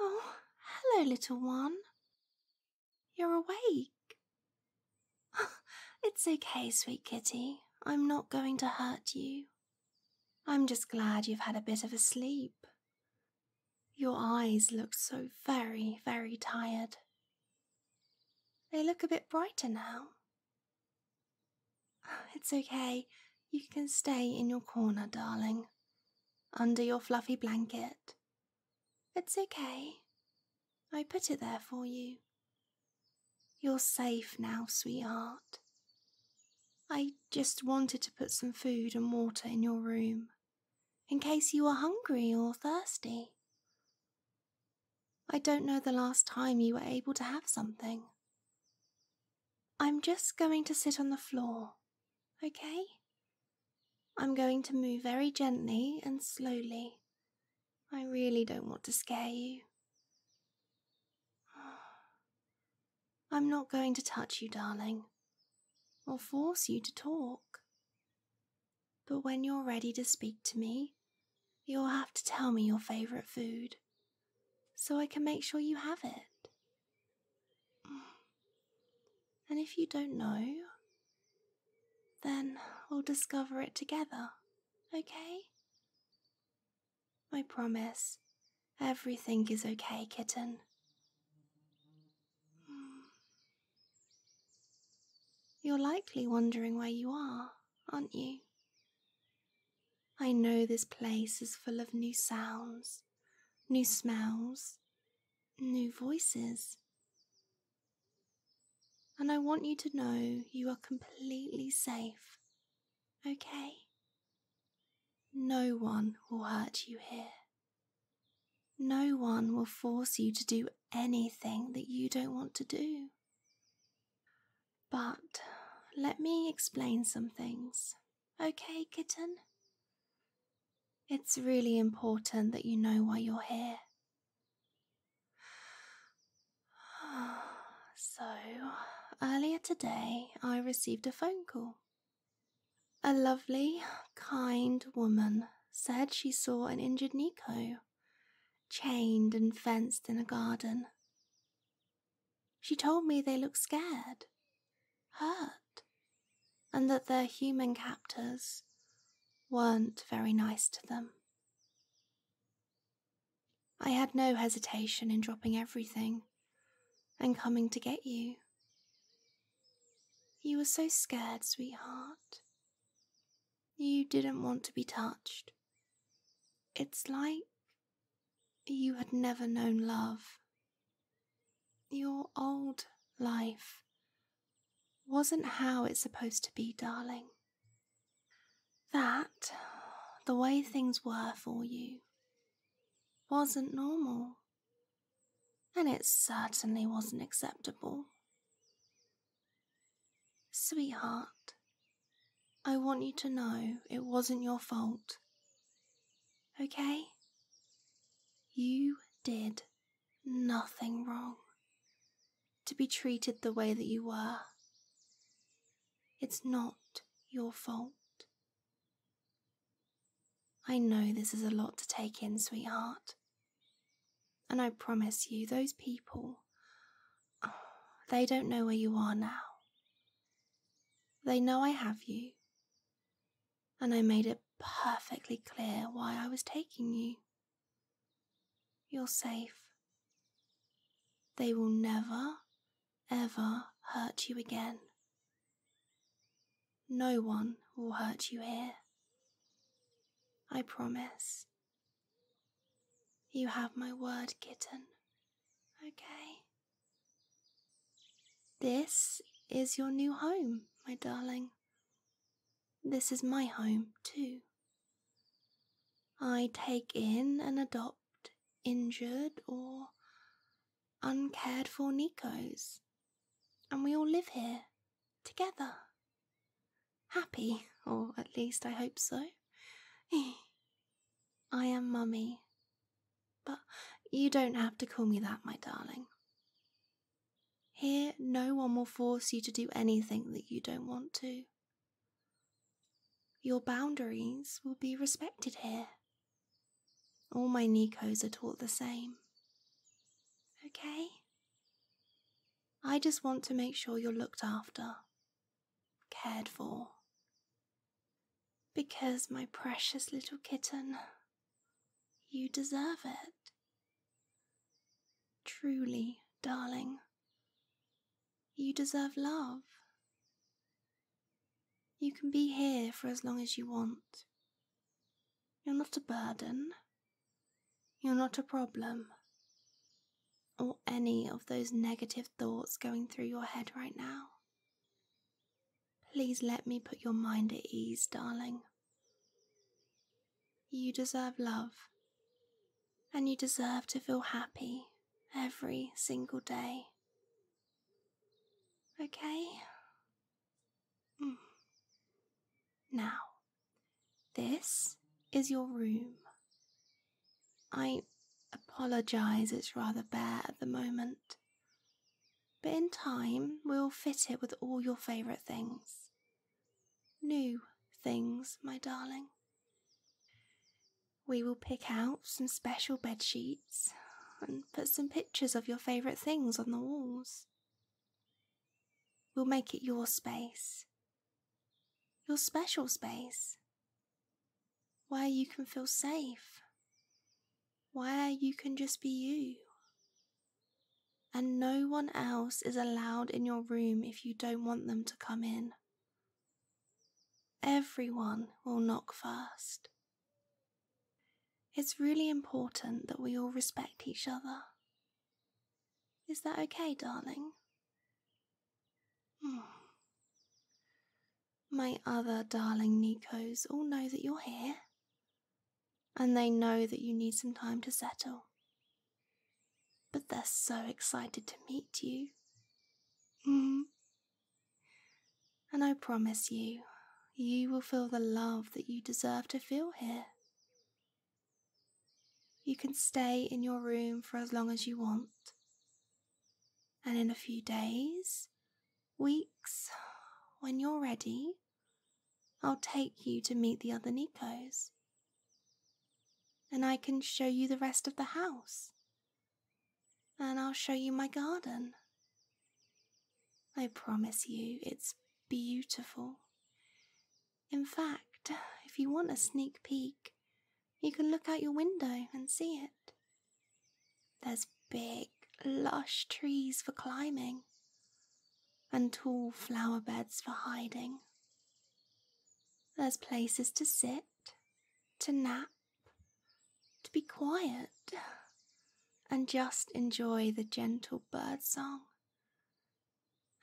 Oh, hello, little one. You're awake. it's okay, sweet kitty. I'm not going to hurt you. I'm just glad you've had a bit of a sleep. Your eyes look so very, very tired. They look a bit brighter now. It's okay. You can stay in your corner, darling, under your fluffy blanket. It's okay. I put it there for you. You're safe now, sweetheart. I just wanted to put some food and water in your room, in case you were hungry or thirsty. I don't know the last time you were able to have something. I'm just going to sit on the floor, okay? I'm going to move very gently and slowly. I really don't want to scare you. I'm not going to touch you, darling, or force you to talk. But when you're ready to speak to me, you'll have to tell me your favorite food so I can make sure you have it. And if you don't know, then we'll discover it together, okay? I promise. Everything is okay, kitten. Hmm. You're likely wondering where you are, aren't you? I know this place is full of new sounds, new smells, new voices. And I want you to know you are completely safe okay? No one will hurt you here. No one will force you to do anything that you don't want to do. But let me explain some things, okay, kitten? It's really important that you know why you're here. So, earlier today I received a phone call. A lovely, kind woman said she saw an injured Nico chained and fenced in a garden. She told me they looked scared, hurt, and that their human captors weren't very nice to them. I had no hesitation in dropping everything and coming to get you. You were so scared, sweetheart. You didn't want to be touched. It's like you had never known love. Your old life wasn't how it's supposed to be, darling. That, the way things were for you, wasn't normal, and it certainly wasn't acceptable. Sweetheart, I want you to know it wasn't your fault. Okay? You did nothing wrong to be treated the way that you were. It's not your fault. I know this is a lot to take in, sweetheart. And I promise you, those people, they don't know where you are now. They know I have you. And I made it perfectly clear why I was taking you. You're safe. They will never, ever hurt you again. No one will hurt you here. I promise. You have my word, kitten. Okay. This is your new home, my darling. This is my home, too. I take in and adopt injured, or uncared for Nikos. And we all live here, together. Happy, or at least I hope so. I am Mummy. But you don't have to call me that, my darling. Here, no one will force you to do anything that you don't want to. Your boundaries will be respected here. All my Nikos are taught the same. Okay? I just want to make sure you're looked after, cared for. Because, my precious little kitten, you deserve it. Truly, darling, you deserve love. You can be here for as long as you want. You're not a burden. You're not a problem. Or any of those negative thoughts going through your head right now. Please let me put your mind at ease, darling. You deserve love, and you deserve to feel happy every single day. Okay? Mm. Now, this is your room. I apologise, it's rather bare at the moment. But in time, we'll fit it with all your favourite things. New things, my darling. We will pick out some special bed sheets and put some pictures of your favourite things on the walls. We'll make it your space, your special space, where you can feel safe, where you can just be you. And no one else is allowed in your room if you don't want them to come in Everyone will knock first. It's really important that we all respect each other. Is that okay, darling? Hmm. My other darling Nikos all know that you're here, and they know that you need some time to settle. But they're so excited to meet you. Mm-hmm. And I promise you, you will feel the love that you deserve to feel here. You can stay in your room for as long as you want. And in a few days, weeks, when you're ready, I'll take you to meet the other Nikos. And I can show you the rest of the house. And I'll show you my garden. I promise you, it's beautiful. In fact, if you want a sneak peek, you can look out your window and see it. There's big, lush trees for climbing and tall flower beds for hiding. There's places to sit, to nap, to be quiet, and just enjoy the gentle bird song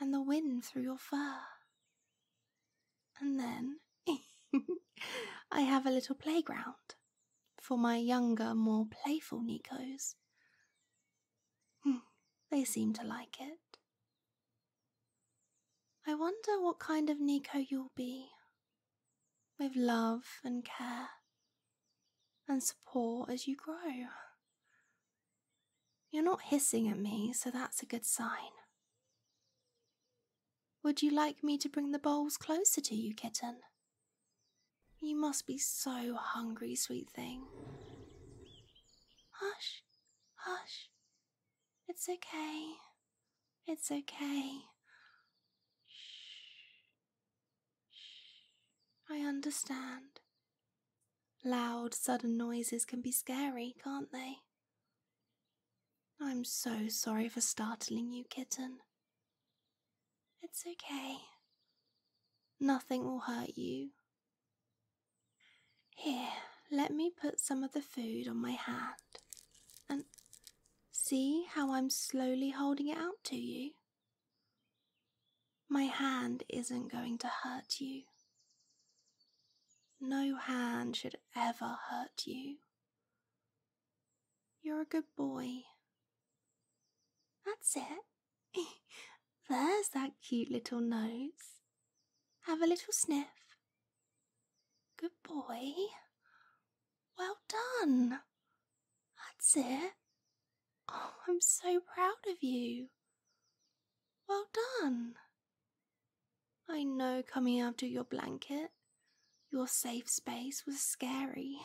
and the wind through your fur. And then I have a little playground for my younger, more playful Nikos. Hmm, they seem to like it. I wonder what kind of Nico you'll be, with love and care and support as you grow. You're not hissing at me, so that's a good sign. Would you like me to bring the bowls closer to you, kitten? You must be so hungry, sweet thing. Hush, Hush. It's okay. It's okay. Shh. Shh. I understand. Loud, sudden noises can be scary, can't they? I'm so sorry for startling you, kitten. It's okay. Nothing will hurt you. Here, let me put some of the food on my hand and see how I'm slowly holding it out to you. My hand isn't going to hurt you. No hand should ever hurt you. You're a good boy. That's it. There's that cute little nose. Have a little sniff. Good boy. Well done. That's it. Oh, I'm so proud of you. Well done. I know coming out of your blanket, your safe space was scary,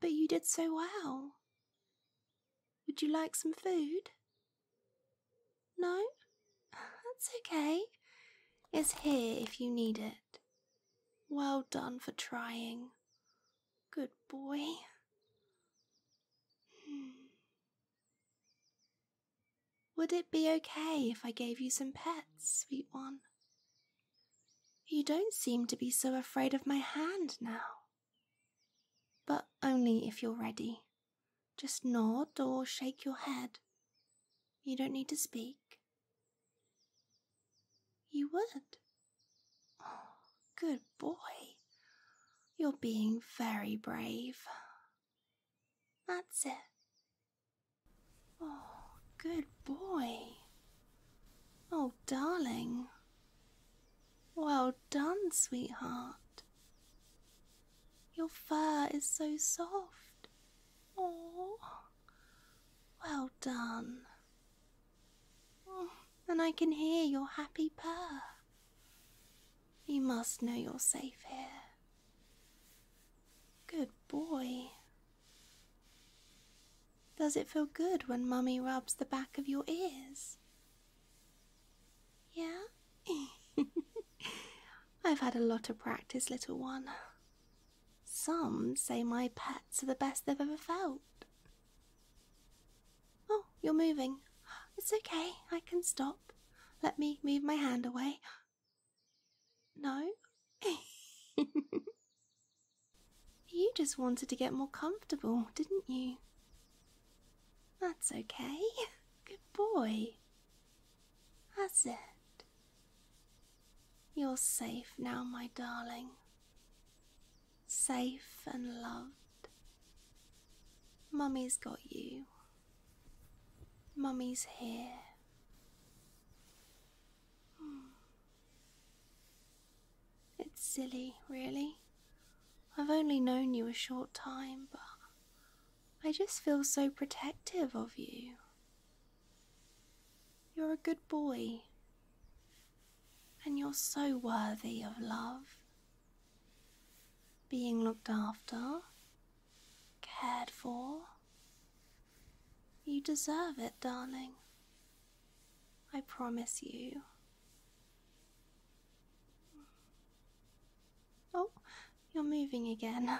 but you did so well. Would you like some food? No? That's okay. It's here if you need it. Well done for trying. Good boy. Hmm. Would it be okay if I gave you some pets, sweet one? You don't seem to be so afraid of my hand now. But only if you're ready. Just nod or shake your head. You don't need to speak. You would. Oh, good boy. You're being very brave. That's it. Oh, good boy. Oh, darling. Well done, sweetheart. Your fur is so soft. Oh, well done. and I can hear your happy purr. You must know you're safe here. Good boy. Does it feel good when Mummy rubs the back of your ears? Yeah? I've had a lot of practice, little one. Some say my pets are the best they've ever felt. Oh, you're moving. It's okay, I can stop. Let me move my hand away. No? You just wanted to get more comfortable, didn't you? That's okay. Good boy. That's it. You're safe now, my darling. Safe and loved. Mummy's got you. Mummy's here. Hmm. It's silly, really. I've only known you a short time, but I just feel so protective of you. You're a good boy, and you're so worthy of love. Being looked after, cared for. You deserve it, darling. I promise you. Oh, you're moving again.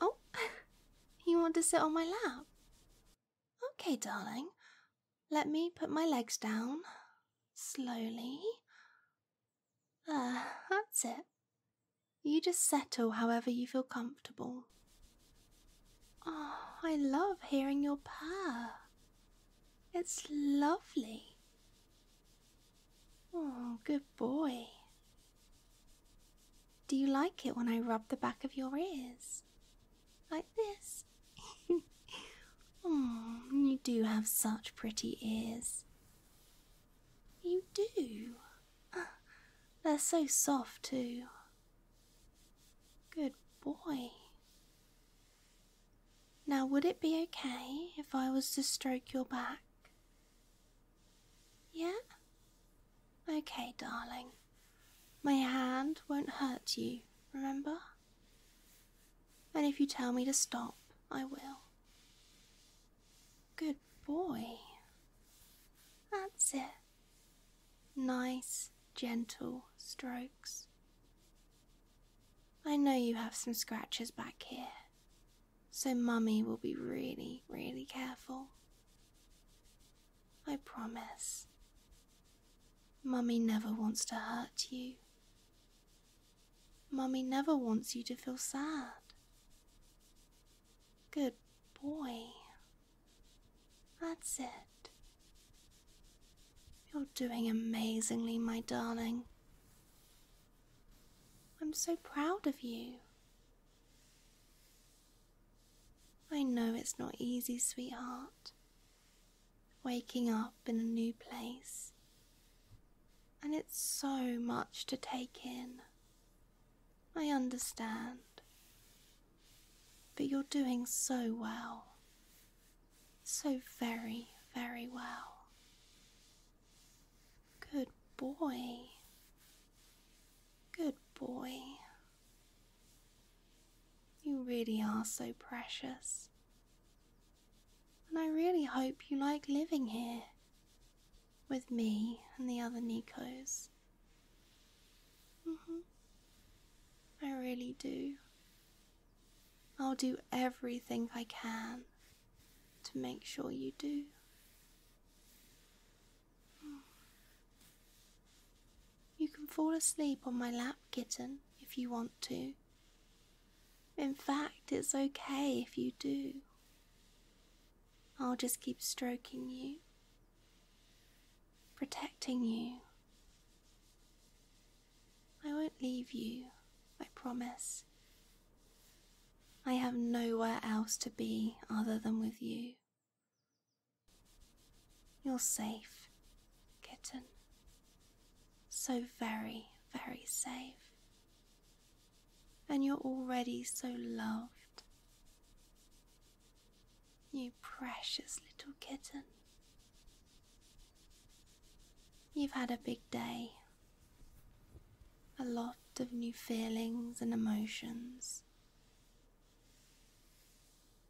Oh, you want to sit on my lap? Okay, darling. Let me put my legs down. Slowly. Ah, that's it. You just settle however you feel comfortable. Oh, I love hearing your purr. It's lovely. Oh, good boy. Do you like it when I rub the back of your ears? Like this? oh, you do have such pretty ears. You do. Ah, they're so soft, too. Good boy. Now, would it be okay if I was to stroke your back? Yeah? Okay, darling. My hand won't hurt you, remember? And if you tell me to stop, I will. Good boy. That's it nice, gentle strokes. I know you have some scratches back here, so Mummy will be really, really careful. I promise. Mummy never wants to hurt you. Mummy never wants you to feel sad. Good boy. That's it. You're doing amazingly, my darling. I'm so proud of you. I know it's not easy, sweetheart. Waking up in a new place. And it's so much to take in. I understand. But you're doing so well. So very, very well. Good boy. Good boy. You really are so precious. And I really hope you like living here with me and the other Nikos. -hmm. I really do. I'll do everything I can to make sure you do. You can fall asleep on my lap, kitten, if you want to. In fact, it's okay if you do. I'll just keep stroking you, protecting you. I won't leave you, I promise. I have nowhere else to be other than with you. You're safe, kitten. So very, very safe. And you're already so loved you precious little kitten. You've had a big day, a lot of new feelings and emotions,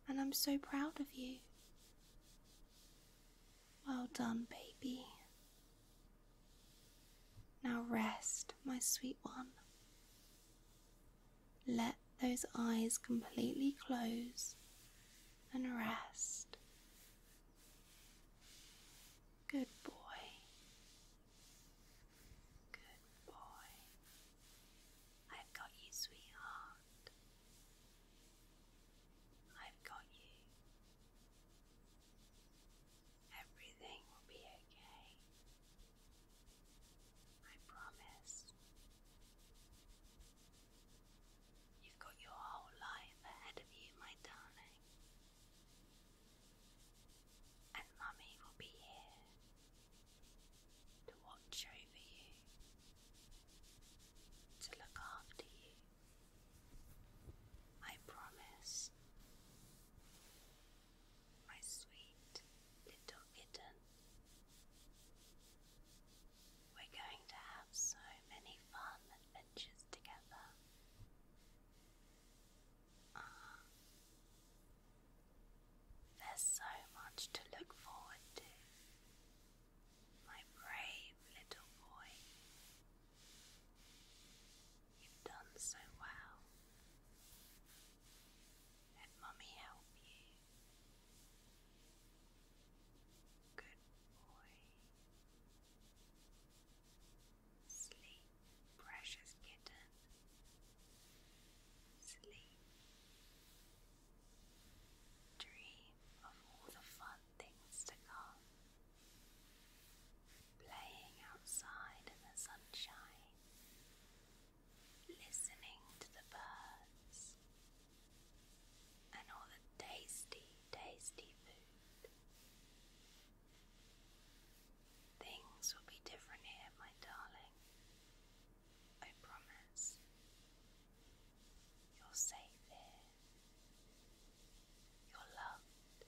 and I'm so proud of you. Well done, baby. Now rest, my sweet one. Let those eyes completely close and rest. Good boy. Good boy. I've got you, sweetheart. I've got you. Everything will be okay. I promise. You've got your whole life ahead of you, my darling. And Mummy will be here to watch over you, to look after you. I promise my sweet little kitten. We're going to have so many fun adventures together. Ah, there's so much to look forward to, my brave little boy. You've done so well. Let Mummy help you. Good boy. Sleep, precious kitten. Sleep. Dream of all the fun things to come playing outside in the sunshine, listening to the birds and all the tasty, tasty food. Things will be different here, my darling. I promise. You're safe here. You're loved.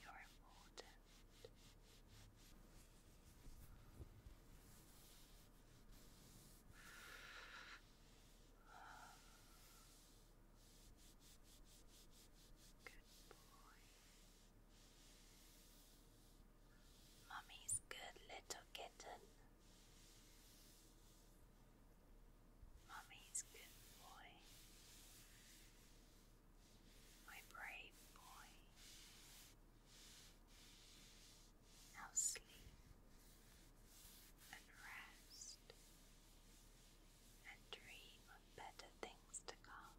You're important. Good boy. Mummy's good little kitten. Mummy's good boy my brave boy. Now sleep and rest and dream of better things to come.